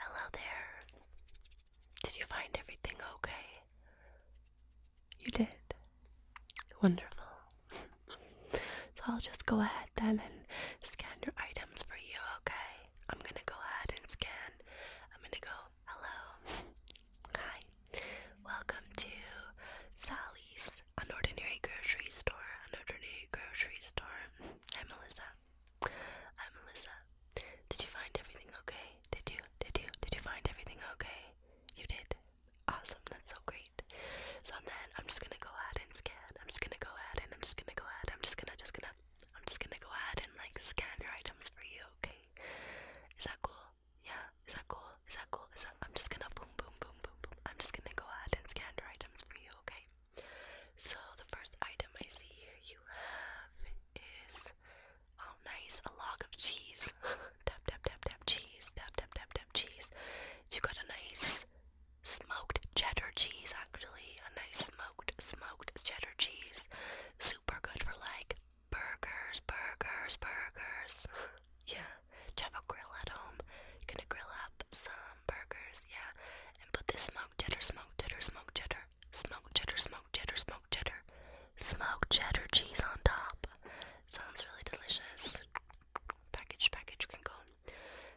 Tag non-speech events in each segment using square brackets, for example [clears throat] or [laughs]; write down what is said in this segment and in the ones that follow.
Hello there. Did you find everything okay? You did. Wonderful. so I'll just go ahead then and scan your items for you, okay? I'm gonna go ahead and scan. I'm gonna go, hello. Hi. Welcome to Sally's, an ordinary grocery store. An ordinary grocery store. Hi, Melissa. Hi, Melissa. Did you find everything okay? Did you? Did you? Did you find everything okay? You did. Awesome, that's so great. So then I'm just gonna go ahead and scan. I'm just gonna go ahead and I'm just gonna go ahead. I'm just gonna just gonna I'm just gonna go ahead and like scan your items for you, okay? Is that cool? Yeah, is that cool? Is that cool? Is that I'm just gonna boom boom boom boom boom. I'm just gonna go ahead and scan your items for you, okay? So the first item I see here you have is oh nice, a log of cheese. [laughs] tap tap tap tap cheese, tap tap tap tap cheese. You got a nice smoked cheddar cheese actually, a nice smoked smoked cheddar cheese. Super good for like burgers, burgers, burgers. [laughs] yeah, you have a grill at home. You're grill up some burgers, yeah, and put this smoked cheddar, smoked cheddar, smoked cheddar, smoked cheddar, smoked cheddar, smoked cheddar, smoked cheddar cheese on top. Sounds really delicious package, package, crinkle,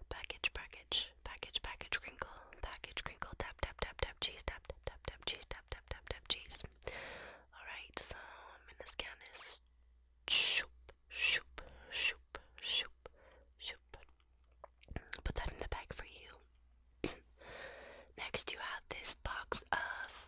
package, package, package, package, crinkle, package, crinkle, tap, tap, tap, tap, cheese, tap, tap, tap, tap, cheese, tap, tap, tap, tap, cheese. All right, so I'm gonna scan this. Shoop, shoop, shoop, shoop, shoop. Put that in the bag for you. [clears throat] Next, you have this box of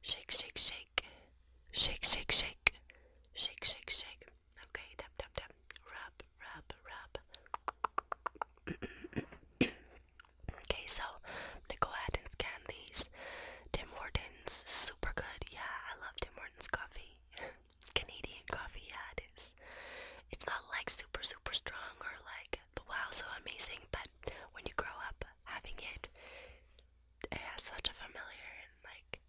Shake, shake, shake. Shake, shake, shake. Shake, shake, shake. Okay, tap, tap, tap. Rub, rub, rub. okay, so I'm gonna go ahead and scan these. Tim Hortons, super good. Yeah, I love Tim Hortons coffee. [laughs] Canadian coffee, yeah, it is. It's not like super, super strong or like, wow, so amazing, but but when you grow up having it, it has such a familiar and like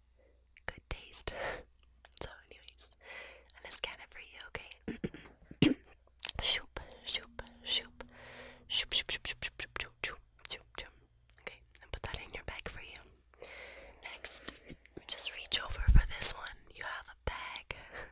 good taste. [laughs] so, anyways, and it's kind of for you, okay? [coughs] shoop, shoop, shoop, shoop, shoop, shoop, shoop, shoop, shoop, shoop, shoop, shoop. Okay, and put that in your bag for you. Next, just reach over for this one. You have a bag. [laughs]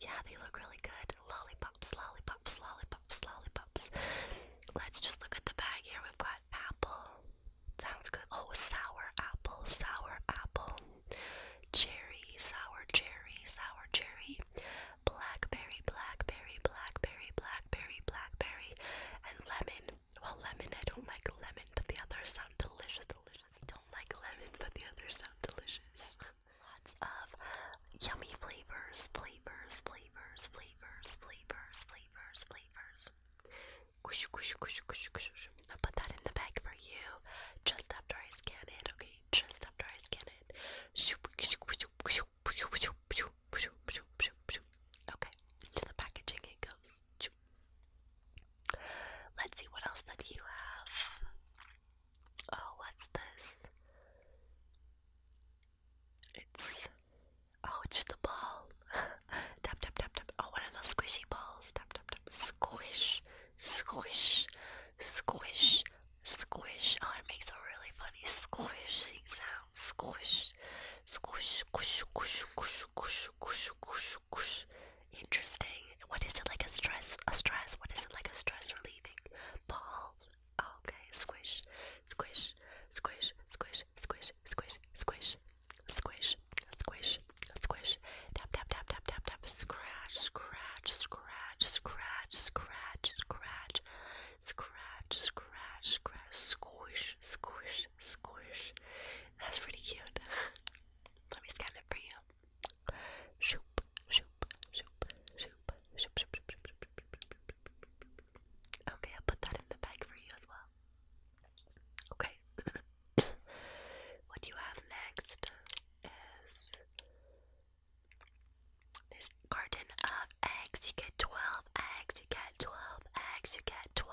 Yeah, they look really good. Lollipops, lollipops, lollipops, lollipops. Let's just look at the bag here. We've got apple. Sounds good. Oh, sour apple, sour apple. Cherry, sour cherry, sour cherry. Blackberry, blackberry, blackberry, blackberry, blackberry, blackberry. And lemon. Well, lemon, I don't like lemon, but the others sound delicious, delicious. I don't like lemon, but the others sound delicious. Lots of yummy flavors, flavors, flavors, flavors, flavors, flavors, flavors. Kush, kush, kush, kush, kush. i put that in the bag for you. Just after I scan it, okay? Just after I scan it. Okay, into the packaging it goes. Let's see what else did you have. Oh, what's this? It's oh, it's just ball. [laughs] tap tap tap tap. Oh, one of those squishy balls. Tap tap tap. Squish, squish, squish, squish. Oh, it makes a really funny squishing sound. Squish, squish, squish, squish, squish. Interesting. What is it like a stress? A stress? What is it like a stress relieving ball? Oh, okay, squish, squish, squish, squish, squish, squish, squish, squish, squish, squish. Tap, tap, tap, tap, tap, tap. Scratch, scratch, scratch, scratch, scratch, scratch, scratch, scratch, scratch. Squish, squish, squish, That's pretty cute. Let me scan it for you. Shoop, shoop, shoop, shoop, shoop, shoop, shoop, shoop, shoop, shoop. Okay, I'll put that in the bag for you as well. Okay. what you have next is this carton of eggs. You get 12 eggs, you get 12 eggs, you get 12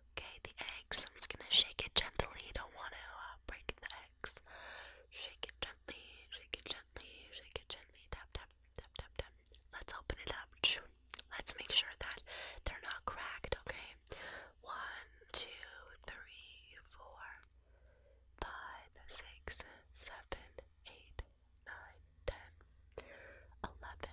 Okay, the eggs. I'm just gonna shake it gently. Don't want to uh, break the eggs. Shake it gently, shake it gently, shake it gently. Tap, tap, tap, tap, tap. Let's open it up. Let's make sure that they're not cracked, okay? One, two, three, four, five, six, seven, eight, nine, ten, eleven,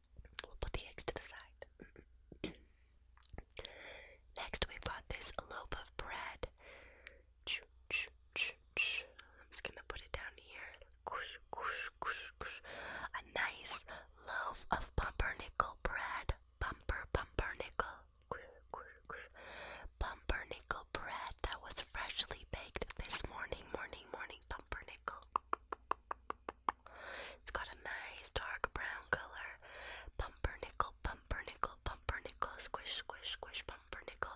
We'll put the eggs to the side. [clears throat] Next, we've got this loaf of bread. I'm just gonna put it down here. A nice loaf of pumpernickel bread. Bumper, pumpernickel. Pumpernickel bread that was freshly baked this morning, morning, morning. Pumpernickel. It's got a nice dark brown color. Pumpernickel, pumpernickel, pumpernickel, squish, squish, squish, pumpernickel.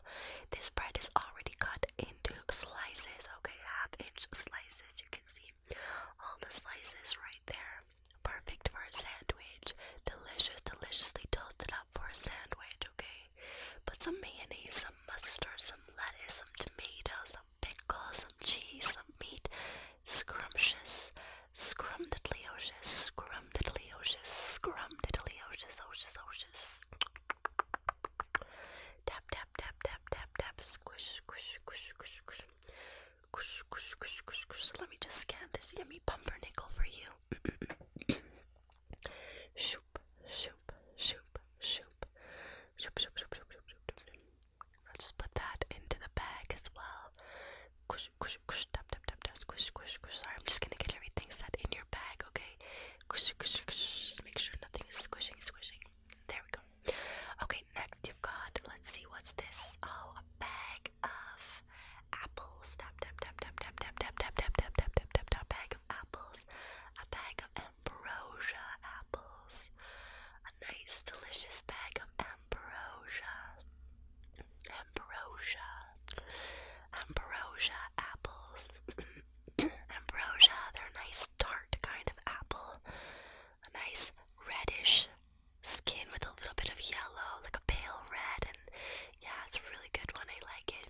This bread is already cut into slices, okay? Half inch slices. You can see all the slices right there. Perfect for a sandwich. Delicious, deliciously toasted up for a sandwich, okay? Put some mayonnaise, some mustard, some lettuce, some tomato, some pickle, some cheese, some meat. Scrumptious, scrumdiddlyocious, scrumdiddlyocious, scrumdiddlyocious, ocious, ocious. Tap, tap, tap, tap, tap, tap. Squish, squish, squish, squish, squish. Squish, squish, squish, squish, squish. Let me just scan this yummy pumpernickel for you. [clears throat] Shoop, shoop, shoop, shoop. Shoop, shoop, shoop, shoop, shoop, shoop, shoop. I'll just put that into the bag as well. Squish, squish, squish, tap, tap, tap, tap, squish, squish, squish. Sorry, I'm just gonna get everything set in your bag, okay? Squish, squish, squish. Make sure nothing is squishing, squishing. There we go. Okay, next you've got, let's see, what's this? Oh, a bag of apples. Tap, tap, tap, tap, tap, tap, tap, tap, tap, tap, tap, tap, tap, tap, bag apples, a bag of ambrosia apples, a nice delicious bag of ambrosia, ambrosia, ambrosia apples, [coughs] ambrosia, they're a nice dark kind of apple, a nice reddish skin with a little bit of yellow, like a pale red, and yeah, it's really good one, I like it.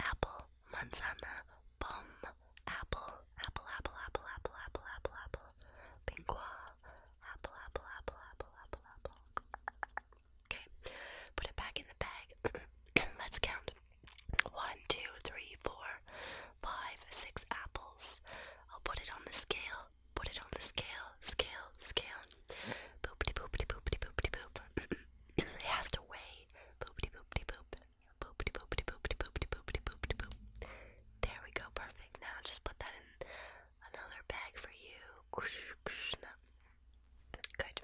apple, manzana, pom, apple, apple, apple, apple, apple, apple, apple, apple, pingua, apple, apple, apple, apple, apple, apple. Okay, put it back in the bag. [coughs] Let's count. One, two, three, four, five, six apples. I'll put it on the scale. Put it on the scale, scale, scale. Boop de boop de boop de boop de boop. It has to weigh. Boop de boop de boop. There we go, perfect. Now just put that in another bag for you. Good.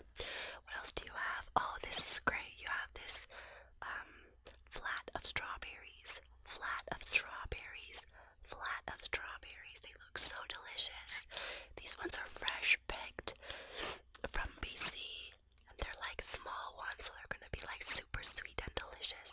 What else do you have? Oh, this is great. You have this um, flat of strawberries. Flat of strawberries. Flat of strawberries. They look so delicious. These ones are fresh picked from BC and they're like small ones, so they're gonna be like super sweet and delicious,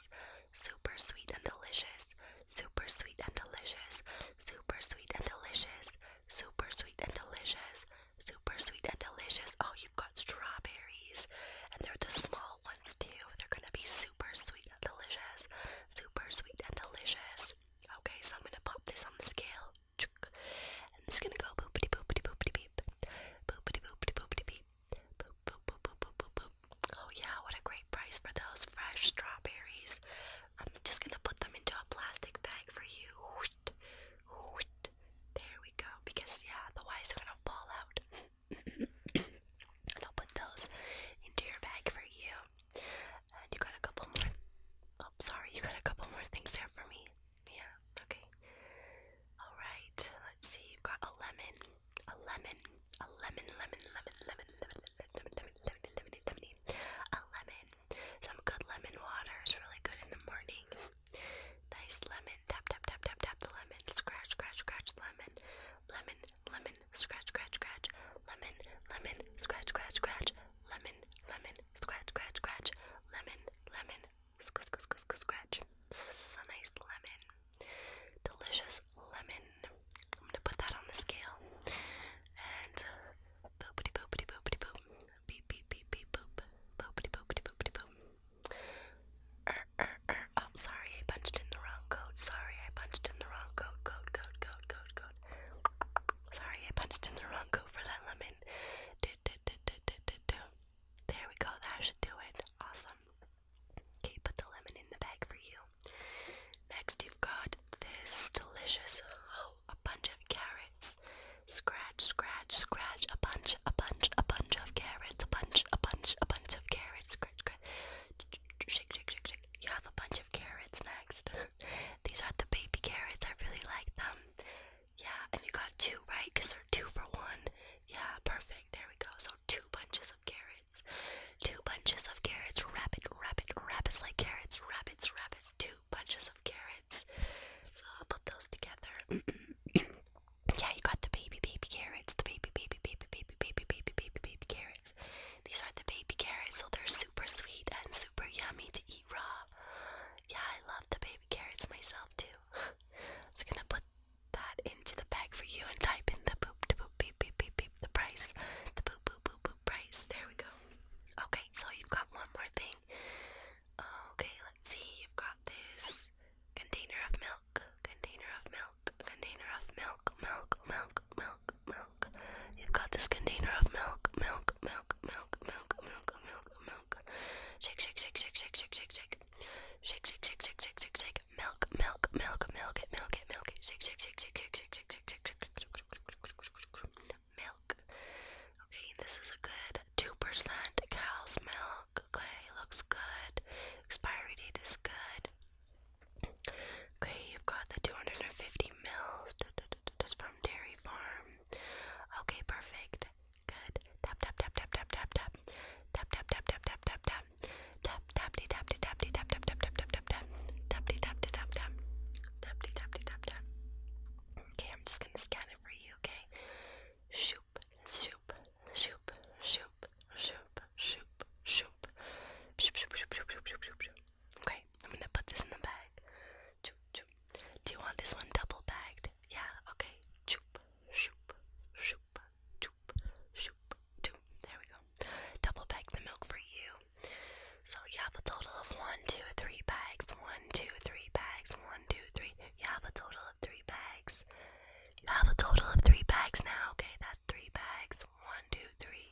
super sweet and delicious, super sweet and delicious, super sweet and delicious, super sweet and delicious, super sweet and delicious. Oh, you've got strawberries, and they're the small ones too. They're gonna be super sweet and delicious, super sweet and delicious. Okay, so I'm gonna pop this on the scale. And it's gonna go boopity boopity boopity beep. Boopity boopity boopity beep. Boop boop boop boop boop boop boop. Oh yeah, what a great price for those fresh strawberries. I'm just gonna put them into a plastic bag for you. There we go. Because yeah, the wires are gonna fall out. and I'll put those into your bag for you. And you got a couple more. Oh, sorry, you got a couple more things there for me. Yeah, okay. Alright, let's see, you've got a lemon, a lemon, a lemon, lemon, lemon, lemon, lemon, lemon, lemon, lemon, lemon, lemon, a lemon. Some good lemon water is really good in the morning. Nice lemon, tap, tap, tap, tap, tap the lemon, scratch, scratch, scratch, lemon, lemon, lemon, scratch, scratch, scratch, lemon, lemon, scratch, scratch, scratch, lemon, lemon, scratch, scratch, scratch, lemon, lemon, sc sc sc sc scratch. This is a nice lemon, delicious lemon. I'm gonna put that on the scale and uh, boopity boopity boopity boop, beep beep beep beep boop, boopity boopity boopity boop. Er, er, er. Oh, sorry, I punched in the wrong code. Sorry, I punched in the wrong code. Code, code, code, code, code. Sorry, I punched in the wrong code for that lemon. There we go. That should do it. Awesome. Okay, put the lemon in the bag for you. Next, you've got this delicious, oh, a bunch of carrots. Scratch, scratch, scratch. A bunch, a bunch, a bunch of carrots. A bunch, a bunch, a bunch of carrots. Scratch, scratch. Shake, shake, shake, shake. You have a bunch of carrots next. [laughs] These are the baby carrots. I really like them. Yeah, and you got two, right? Because they're two for one. Yeah, perfect. There we go. So two bunches of carrots. Two bunches of carrots. Rabbit, rabbit, rabbits like carrots. Rabbits, rabbits. Two bunches of carrots. So I'll put those together. [clears throat] yeah, you got the baby, baby carrots. The baby, baby, baby, baby, baby, baby, baby, baby carrots. These are the baby carrots, so they're super sweet and super yummy to eat raw. Yeah, I love the baby carrots myself too. [laughs] I'm just gonna put that into the bag for you and type in the poop to poop beep beep beep beep the price. The poop poop poop poop price. There we go. Okay, so you've got one more thing. Okay, let's see. You've got this container of milk, container of milk, container of milk, milk, milk, milk, milk. You've got this container of milk, milk, milk, milk, milk, milk, milk, milk. Shake, shake, shake, shake, shake, shake, shake, shake. Shake, shake, shake, shake, shake, shake, shake. Milk, milk, milk, milk it, milk it, milk it. Shake, shake, shake, shake, shake, shake, shake, shake, shake, shake. Milk. Okay, this is a good two percent cow's milk. Okay, looks good. Expiry date is good. Okay, you've got the 250 mils from Dairy Farm. Okay, perfect. Good. Tap tap tap tap tap tap tap. Tap tap tap tap tap tap tap. Tap tap tap tap tap tap tap tap tap tap tap tap. Tap tap tap tap tap. Tap tap tap tap. Okay, I'm just gonna scan it for you. Okay. Shoop shoop shoop shoop shoop shoop shoop shoop shoop shoop shoop shoop shoop shoop. Okay, I'm gonna put this in the bag. Choop, choop. Do you want this one double bagged? Yeah, okay. Choop, shoop, shoop, choop, shoop, choop. There we go. Double bag the milk for you. So you have a total of one, two, three bags. One, two, three bags. One, two, three. You have a total of three bags. You have a total of three bags now. Okay, that's three bags. One, two, three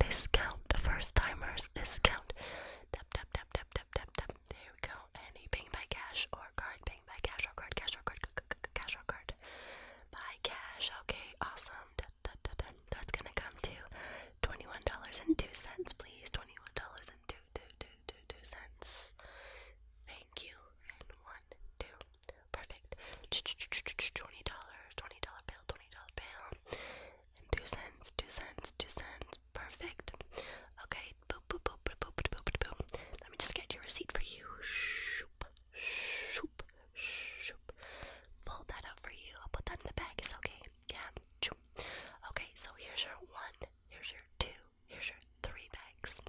discount, first timers discount. Tap, tap, tap, tap, tap, tap, tap. There we go. Any ping by cash or card, ping by cash or card, cash or card, cash or card. By cash. Okay, awesome. That's gonna come to twenty-one dollars and two cents, please. Twenty-one dollars and two, two, two, two, two cents. Thank you. one, two, perfect. Twenty dollars, twenty dollar bill, twenty dollar bill. Two cents, two cents, two cents. Perfect. Okay, Let me just get your receipt for you. Shoop, shoop, shoop. Fold that up for you. I'll put that in the bag. It's okay. Yeah. Shoop. Okay, so here's your one. Here's your two. Here's your three bags.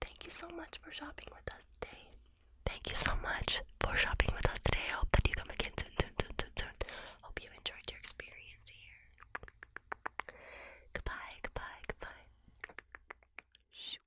Thank you so much for shopping with us today. Thank you so much for shopping with us today. I hope that you come again soon, soon, soon, soon, soon. Hope you enjoyed your experience here. Goodbye, goodbye, goodbye. Shoot.